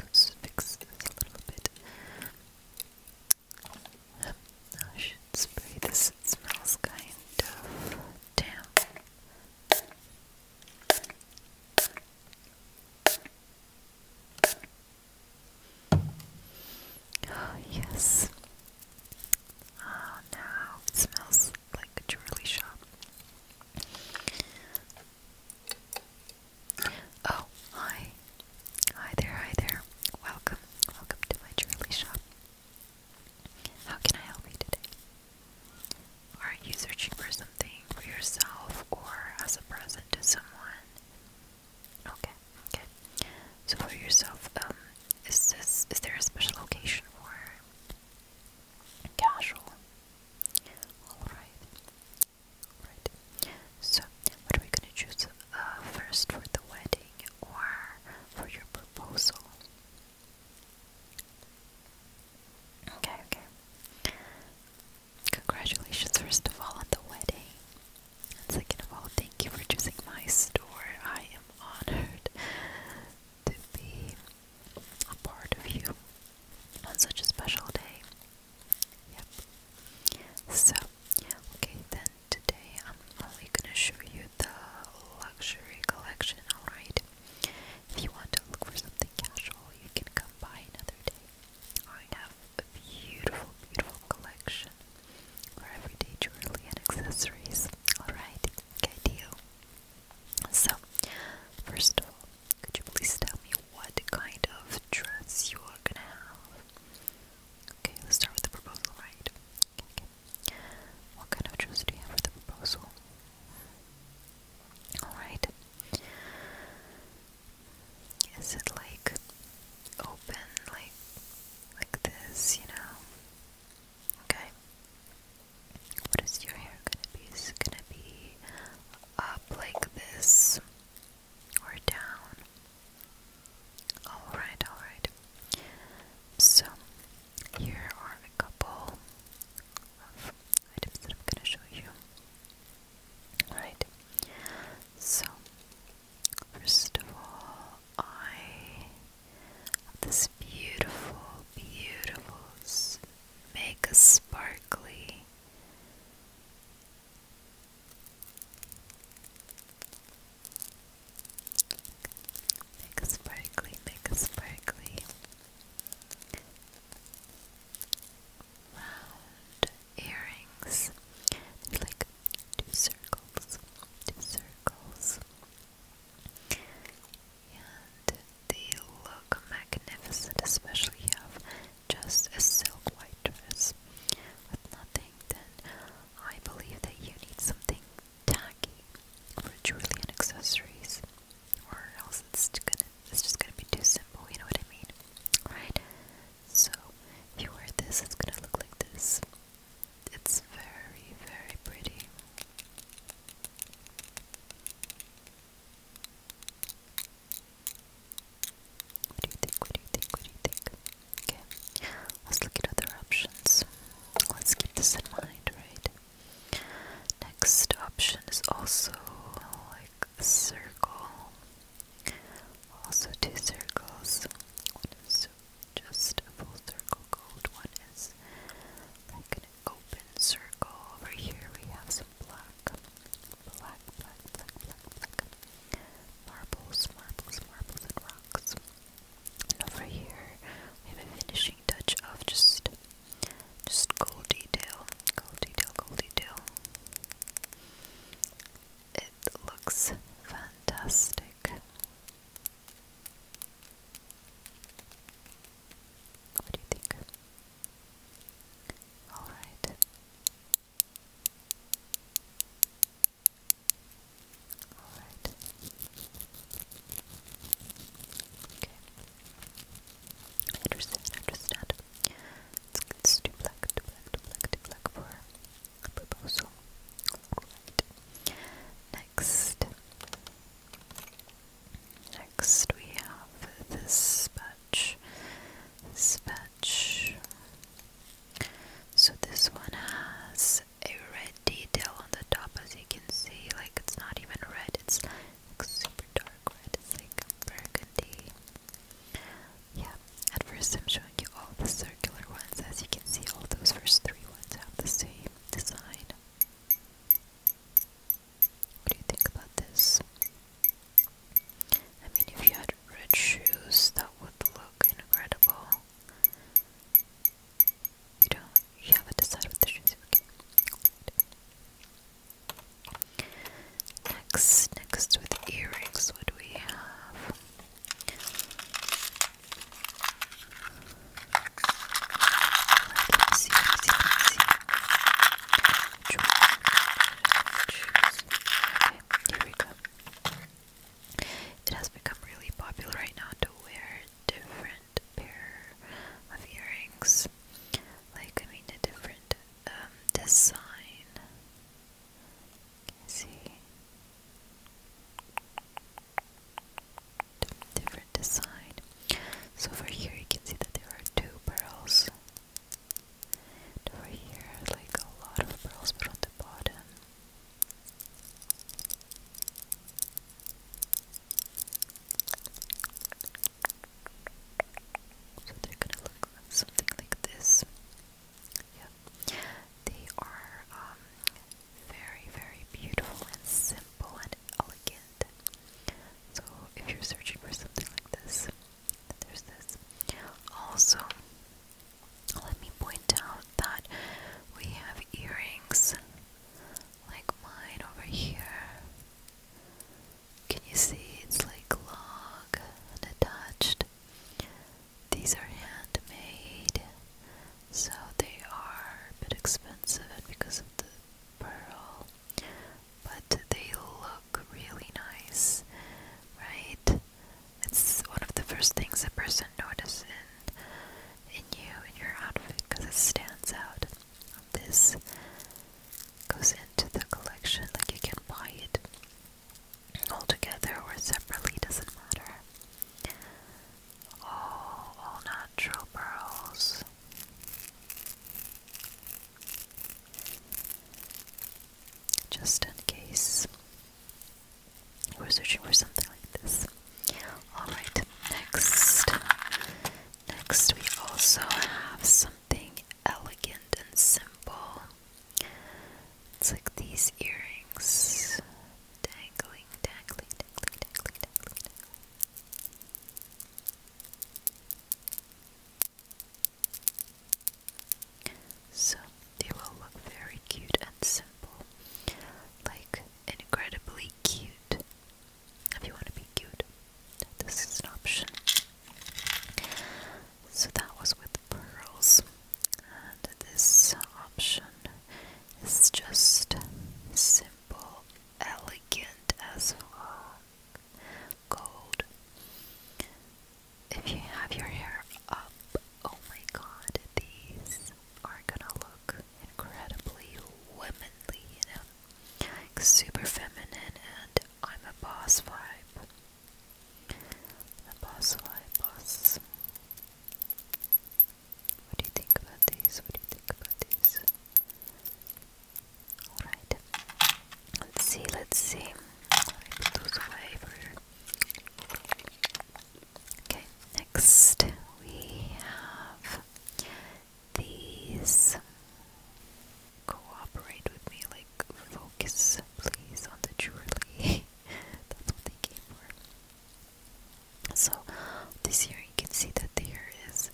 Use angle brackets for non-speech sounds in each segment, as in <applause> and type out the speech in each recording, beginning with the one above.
Let's fix this a little bit. I should spray this, it smells kind of Oh, yes. Oh, now it smells was like a jewelry shop. Oh, hi. Hi there, hi there. Welcome. Welcome to my jewelry shop. How can I help you today? Are you searching for something for yourself or as a present to someone? Okay, okay. So for yourself, um, is this is there a special occasion for casual. Alright. Alright. So, what are we gonna choose uh, first for the wedding or for your proposal? Okay, okay. Congratulations, first of all, on the wedding. second of all, thank you for choosing my store. I am honored to be a part of you on such a special day. Yep. So, okay, then today I'm only gonna show you the luxury collection, alright? If you want to look for something casual, you can come by another day. I have a beautiful, beautiful collection for everyday jewelry and accessories. Alright, good deal. So, first of all, could you please tell me what kind of dress you are gonna have? Okay, let's start with the proposal, right? Okay, okay. What kind of dress do you have for the proposal? Alright. Is it like open, like like this, you know? Okay. What is your hair gonna be? Is it gonna be up like this or down? Alright, alright. So, here are a couple of items that I'm gonna show you. Alright. So, first of all, I have this beautiful, beautiful, make a sparkly make a sparkly make a sparkly round earrings like two circles two circles and they look magnificent, especially you have just a silk white dress with nothing, then I believe that you need something tacky for jewelry and accessories, or else it's gonna it's just gonna be too simple, you know what I mean? Right? So if you wear this it's gonna look like this. It's very, very pretty. What do you think? What do you think? What do you think? Okay, let's look at other options. Let's keep this in mind, right? Next option is also like a circle. Also, two circles. One is just a full circle gold. one is like an open circle. Over here we have some black, black, black, black, black, black marbles, marbles, marbles, and rocks. And over here we have a finishing touch of just, just gold detail, gold detail, gold detail. It looks fantastic. What do you think? All right. All right. Okay. understand, understand. It's, it's too black, too black, too black, too black for a Alright. Next. Next we have this patch. patch. So this one has a red detail on the top as you can see, like it's not even red, it's super dark red, like burgundy. Yeah, at first I'm showing you all the circular ones, as you can see all those first three ones have the same design. What do you think about this? I mean, if you had red shoes, that would look incredible. You don't. You haven't decided what the shoes. Okay. Next, next with earrings, what do we have? here we go. It has become really popular right now to wear different pair of earrings. Like I mean a different um, design. see different design. So over here you can see that there are two pearls. And over here like a lot of pearls but on the bottom. So they're gonna look something like this. Yeah. They are um, very very beautiful and simple and elegant. So if you're searching for something like this, there's this. Also, let me point out that we have earrings like mine over here. Can you see it's like long and attached? These are handmade, so they are a bit expensive, because of the pearl but they look really nice, right? It's one of the first things a person notices in, in you, and your outfit, because it stands out. This goes into the collection, like you can buy it all together or separately, doesn't matter. All, all natural pearls. Just in case we're searching for something like this. Alright, next. Next, we also have something elegant and simple. It's like these earrings dangling, dangling, dangling, dangling, dangling. So they will look very cute and simple. Like incredibly cute. If you want to be cute, this is an option. So that was with pearls. And this option is just simple, elegant as fuck gold. If you have your hair up, oh my god, these are gonna look incredibly womanly, you know? super feminine and I'm a boss vibe. A boss vibe, boss. What do you think about these? What do you think about these? Alright. Let's see, let's see. Okay, next we have these. Cooperate with me, like focus please on the jewelry. <laughs> That's what they came for. So, this here you can see that there is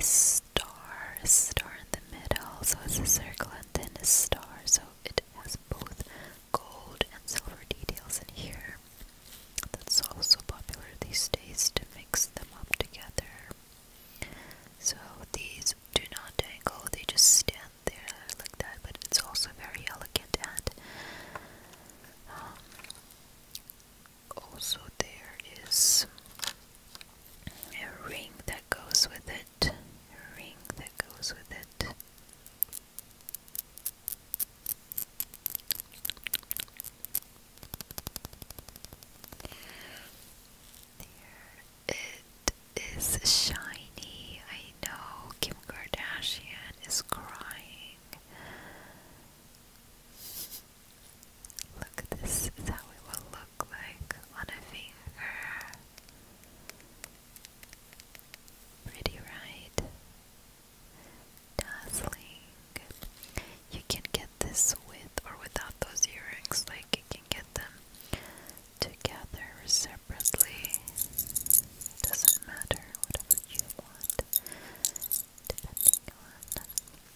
star, a star in the middle, so it's a circle and then a star, so it has both gold and silver details in here. That's also popular these days to mix them up together. So these do not dangle, they just stand there like that, but it's also very elegant and um, also there is a ring that goes with it, a ring that goes with it. it is shiny. I know Kim Kardashian is crying. Look, this is how it will look like on a finger. Pretty, right? Dazzling. You can get this with or without those earrings, like you can get them together or separately. doesn't matter, whatever you want, depending on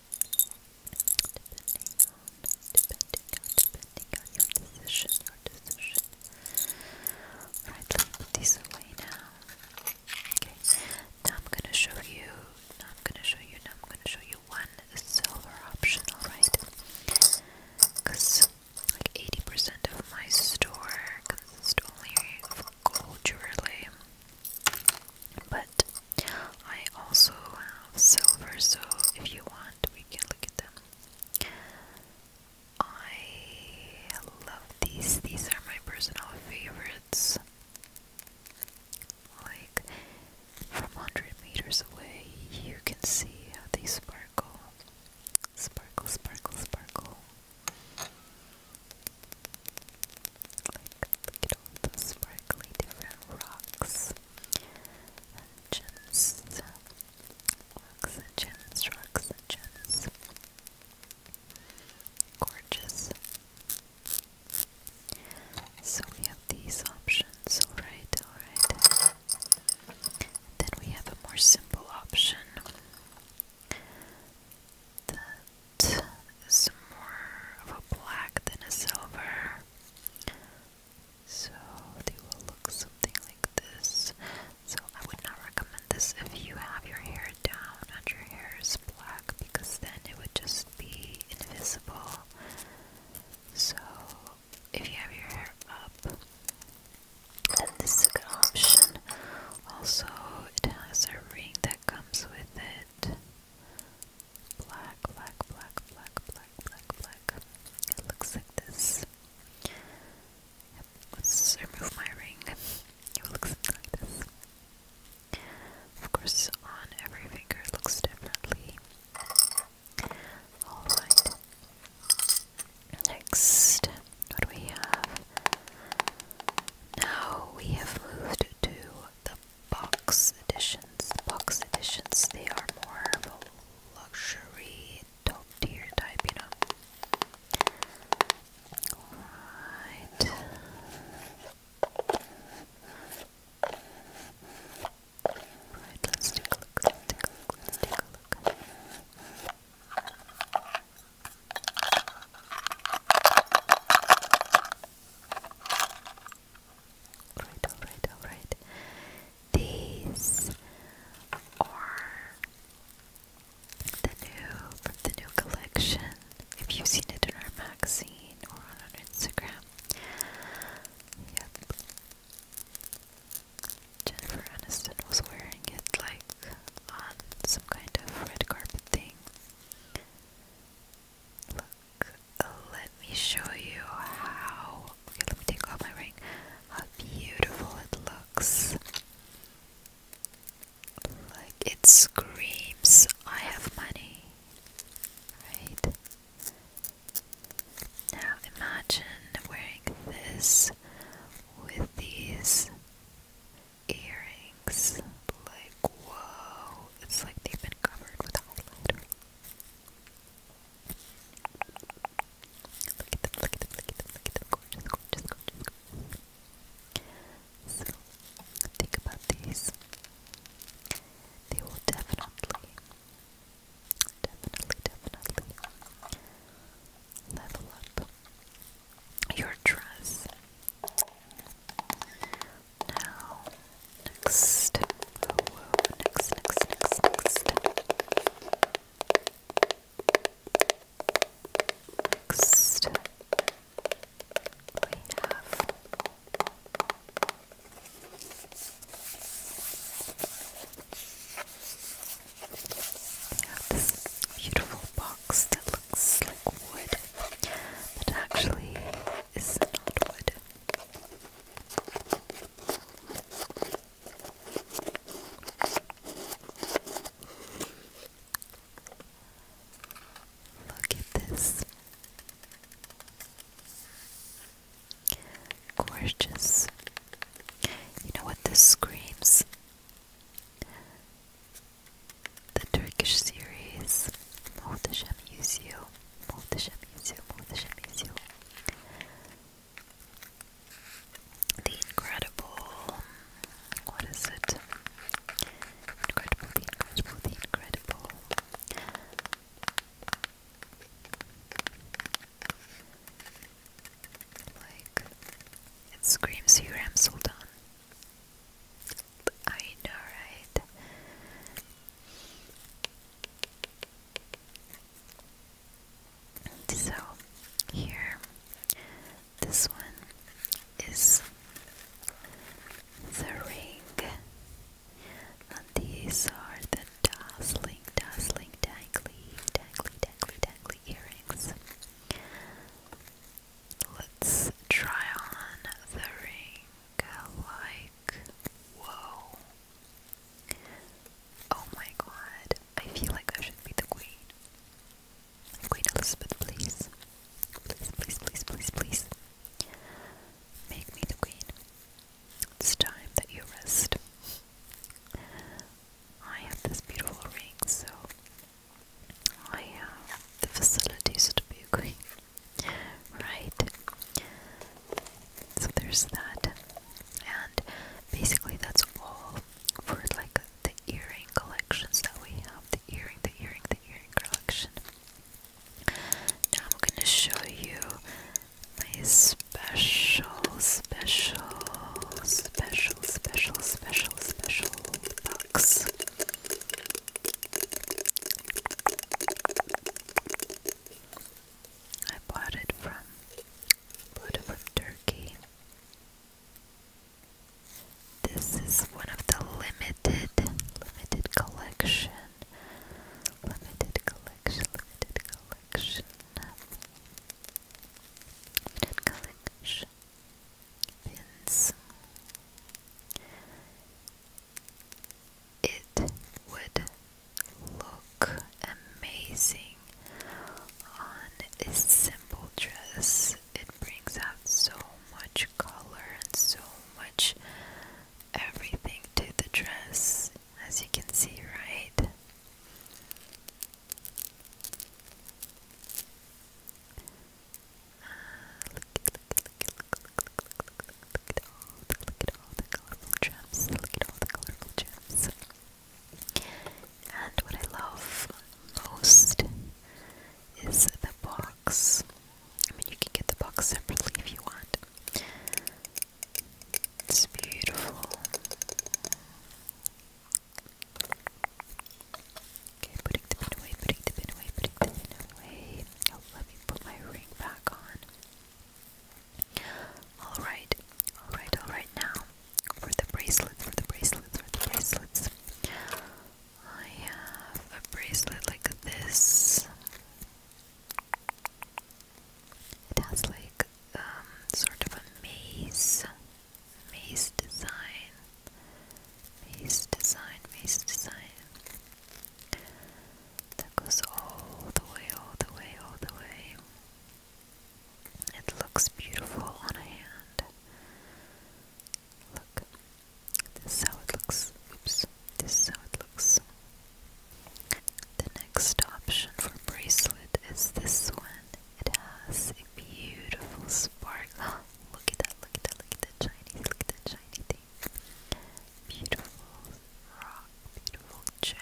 depending on, depending on, depending on your decision, your decision. Right, let me put these away now. Okay, now I'm gonna show you, now I'm gonna show you, now I'm gonna show you one silver option, alright? Because like 80% of my store consists only of gold jewelry. But I also have silver, so if you want, we can look at them. I love these. These are my personal favorites. Like from 100 meters away, you can see how they sparkle. Sparkle, sparkle, sparkle. Like, look at the sparkly different rocks gems, uh, rocks and gems, rocks and gems. Gorgeous. So we have these options, alright, alright. Then we have a more simple option that is more of a black than a silver. So they will look something like this. So I would not recommend this if you have your hair down and your hair is black because then it would just be invisible. So if you have your hair up, then this is a good option. Also, it has a ring that comes with it. Black, black, black, black, black black, black, It looks like this. let's remove my ring. It looks like this. Of course, on every finger looks differently. Alright. Next, what do we have? Now we have moved to the box editions. Box editions, they are more of a luxury, top type, you know. Alright. Right, let's take a look, let's take a look, let's take a look. Alright, alright, alright. These are the new the new collection. If you've seen it in our magazine or on our Instagram. Yep. Jennifer Aniston was wearing it like on some kind of red carpet thing. Look let me show you how. Okay, let me take off my ring. How beautiful it looks! Like it screams, I have money. Right? Now imagine wearing this with these earrings. Like, whoa, it's like they've been covered with highlighter. Look at them, look at them, look at them, look at them. Gorgeous, gorgeous, gorgeous, think about these. They will definitely, definitely, definitely level up your dress. Now, Next. Next, next, next, next. Next. We have. We have this beautiful box that looks like wood, but actually is not wood. Look at this gorgeous. You know what this screams? The Turkish series Muhteşem Yüzyıl Muhteşem Yüzyıl Muhteşem Yüzyıl the Incredible. What is it? Incredible, the Incredible, the Incredible. Like, it screams Huram Sultan. I know, right? So here, this one is the ring. And these are the dazzling, dazzling, dangly, dangly, dangly, dangly earrings. Let's try on the ring. Like, whoa, Oh my god, I feel like I should be the queen. Queen Elizabeth, please. Please, please, please, please, please. Make me the queen. It's time that you rest. I have this beautiful ring, so I have the facilities to be queen. Right? So there's that. And basically that's all for like the earring collections that we have. The earring, the earring, the earring collection. Now I'm gonna show you my special, special, special, special, special, special box. I bought it from bought it Turkey. This is one of the limited limited collection. Limited collection, limited collection. Limited collection pins. It would look amazing on a simple dress. It brings out so much color and so much everything to the dress, as you can see, right? Uh, look, look, look, look, look, look, look, look, look, look, look, look, all the colorful gems. Look at all the colorful gems. And what I love most is the box. I mean, you can get the box separately if you want. It's beautiful. Okay, putting the away, putting the away, putting the away. Oh, me put my ring back on. Alright, alright, alright now. For the bracelets, for the bracelets, for the bracelets. I have a bracelet like this. It has like um, sort of a maze maze design. Maze design, maze design. That goes all the way, all the way, all the way. It looks beautiful on a hand. Look, this how it looks. Oops, this how it looks. The next option for bracelet is this one. It has a beautiful sparkle. <gasps> look at that, look at that, look at that shiny, look at that shiny thing. Beautiful rock, beautiful gem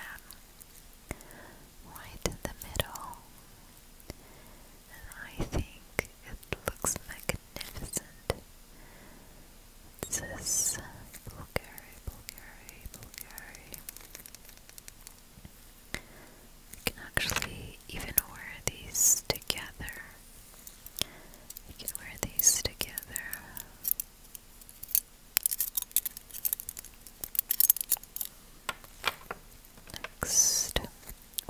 right in the middle, and I think it looks magnificent. It says Bulgari, Bulgari, Bulgari. You can actually even wear these together. You can wear these together. Next,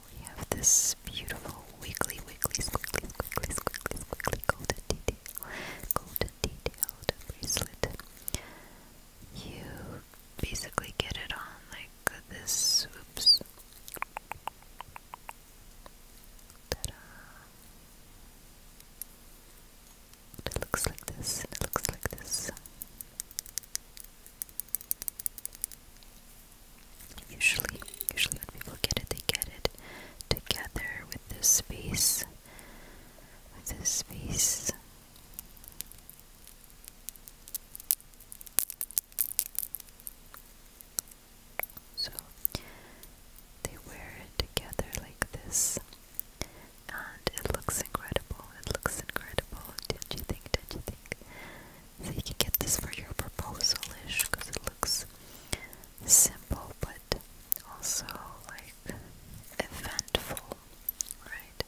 we have this beautiful wiggly, wiggly, squiggly, squiggly, squiggly, squiggly golden detail, golden detailed bracelet. You basically get it on like this. Oops. ta it looks like this, it looks like this. Usually, usually when people get it, they get it together with this space. With this space. So they wear it together like this and it looks incredible. It looks incredible. Don't you think? Don't you think? So you can get this for your proposal-ish because it looks simple, but also like eventful, right?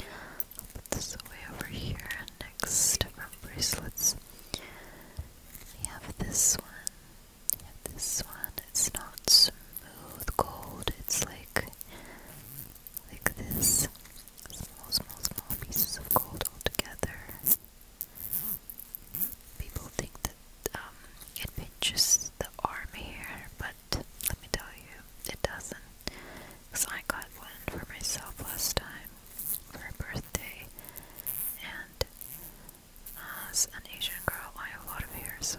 I'll put this away over here. Next from bracelets, we have this one. This one, it's not smooth gold, it's like, like this. Small, small, small pieces of gold all together. People think that um, it pinches the arm here, but let me tell you, it doesn't. Because I got one for myself last time for a birthday, and uh, as an Asian girl, I have a lot of hair, so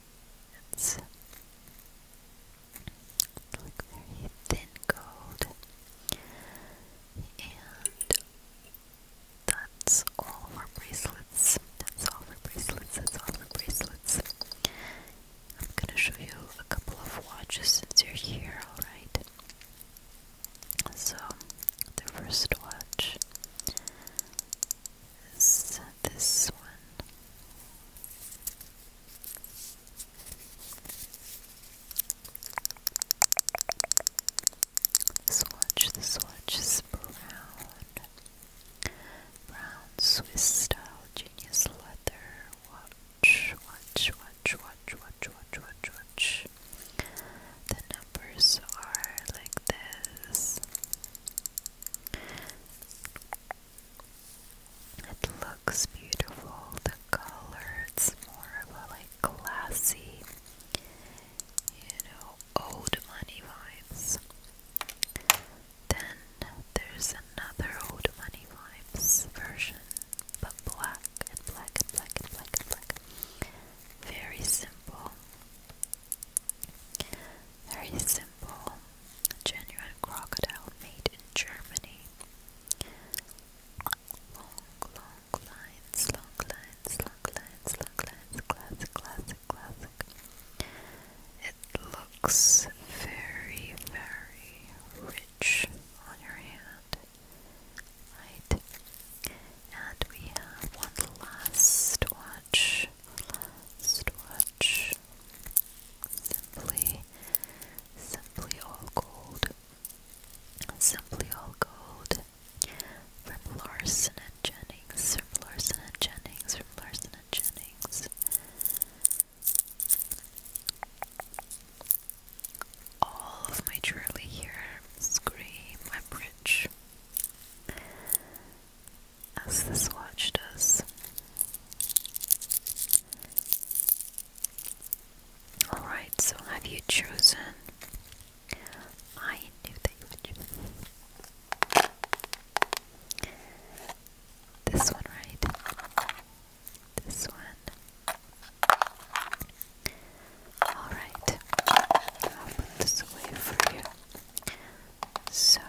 It's like very thin gold, and that's all for bracelets. That's all for bracelets. That's all for bracelets. I'm gonna show you a couple of watches since you're here, alright? So, the first watch this one. swatch, swatch brown. Brown Swiss style leather. Watch, watch, watch, watch, watch, watch, watch, watch. The numbers are like this. It looks beautiful, the color, it's more of a like classy, you know, old money vibes. Then there's another old money vibes version, but black and black and black and black and black. Very simple. Very simple, genuine crocodile made in Germany. Long, long lines, long lines, long lines, long lines, classic, classic, classic. It looks very, very rich on your hand. Right. And we have one last watch. Storage Simply Simply All Gold Simply All Gold From Larson and Jennings From Larson and Jennings From Larson and Jennings All of my jewelry here scream I'm rich as this watch does. Alright, so have you chosen? I knew that this one, right? This one. Alright, I'll this away for you. So,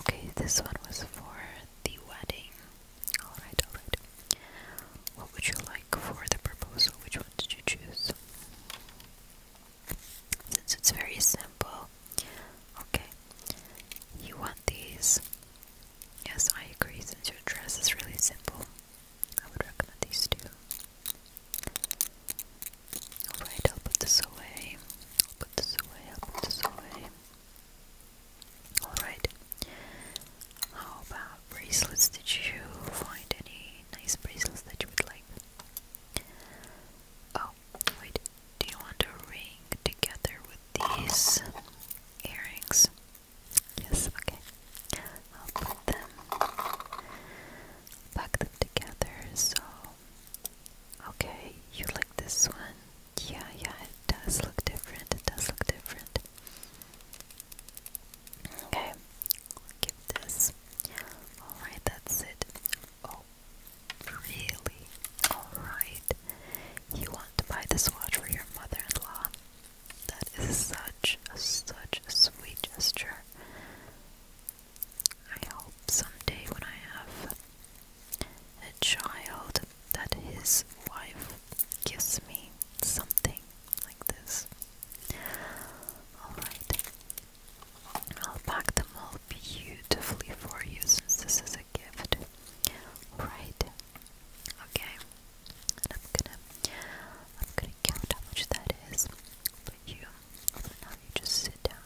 okay, this one was for the wedding. Alright, alright. What would you like for the proposal? Which one did you choose? Since it's very simple. Okay. You want these? Yes, I agree. Since your dress is really simple, I would recommend these two. Alright, I'll put this away. put this away, put this away. Alright. How about bracelets? Did you find any nice bracelets that you would like? Oh, wait. Do you want a ring together with these earrings? Yes, okay. I'll put them, pack them together so Okay, you like this one? Yeah, yeah, it does look different. It does look different. Okay, I'll give this. Alright, that's it. Oh, really? Alright. You want to buy this watch for your mother in law? That is such a such a sweet gesture. I hope someday when I have a child that his wife gives me something like this. Alright. I'll pack them all beautifully for you since this is a gift. Right. Okay. And I'm gonna I'm gonna count how much that is. But you now you just sit down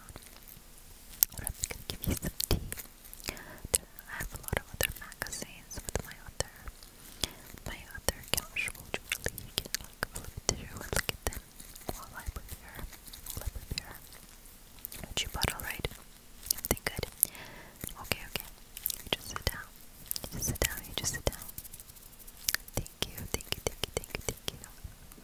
I'm gonna give you some tea. I have a lot of other magazines with my other, my other casual jewelry. You can like flip through and look at them while I prepare, while I prepare what you bought. Alright, everything good. Okay, okay. You just sit down. You just sit down. You just sit down. Thank you, thank you, thank you, thank you, thank you.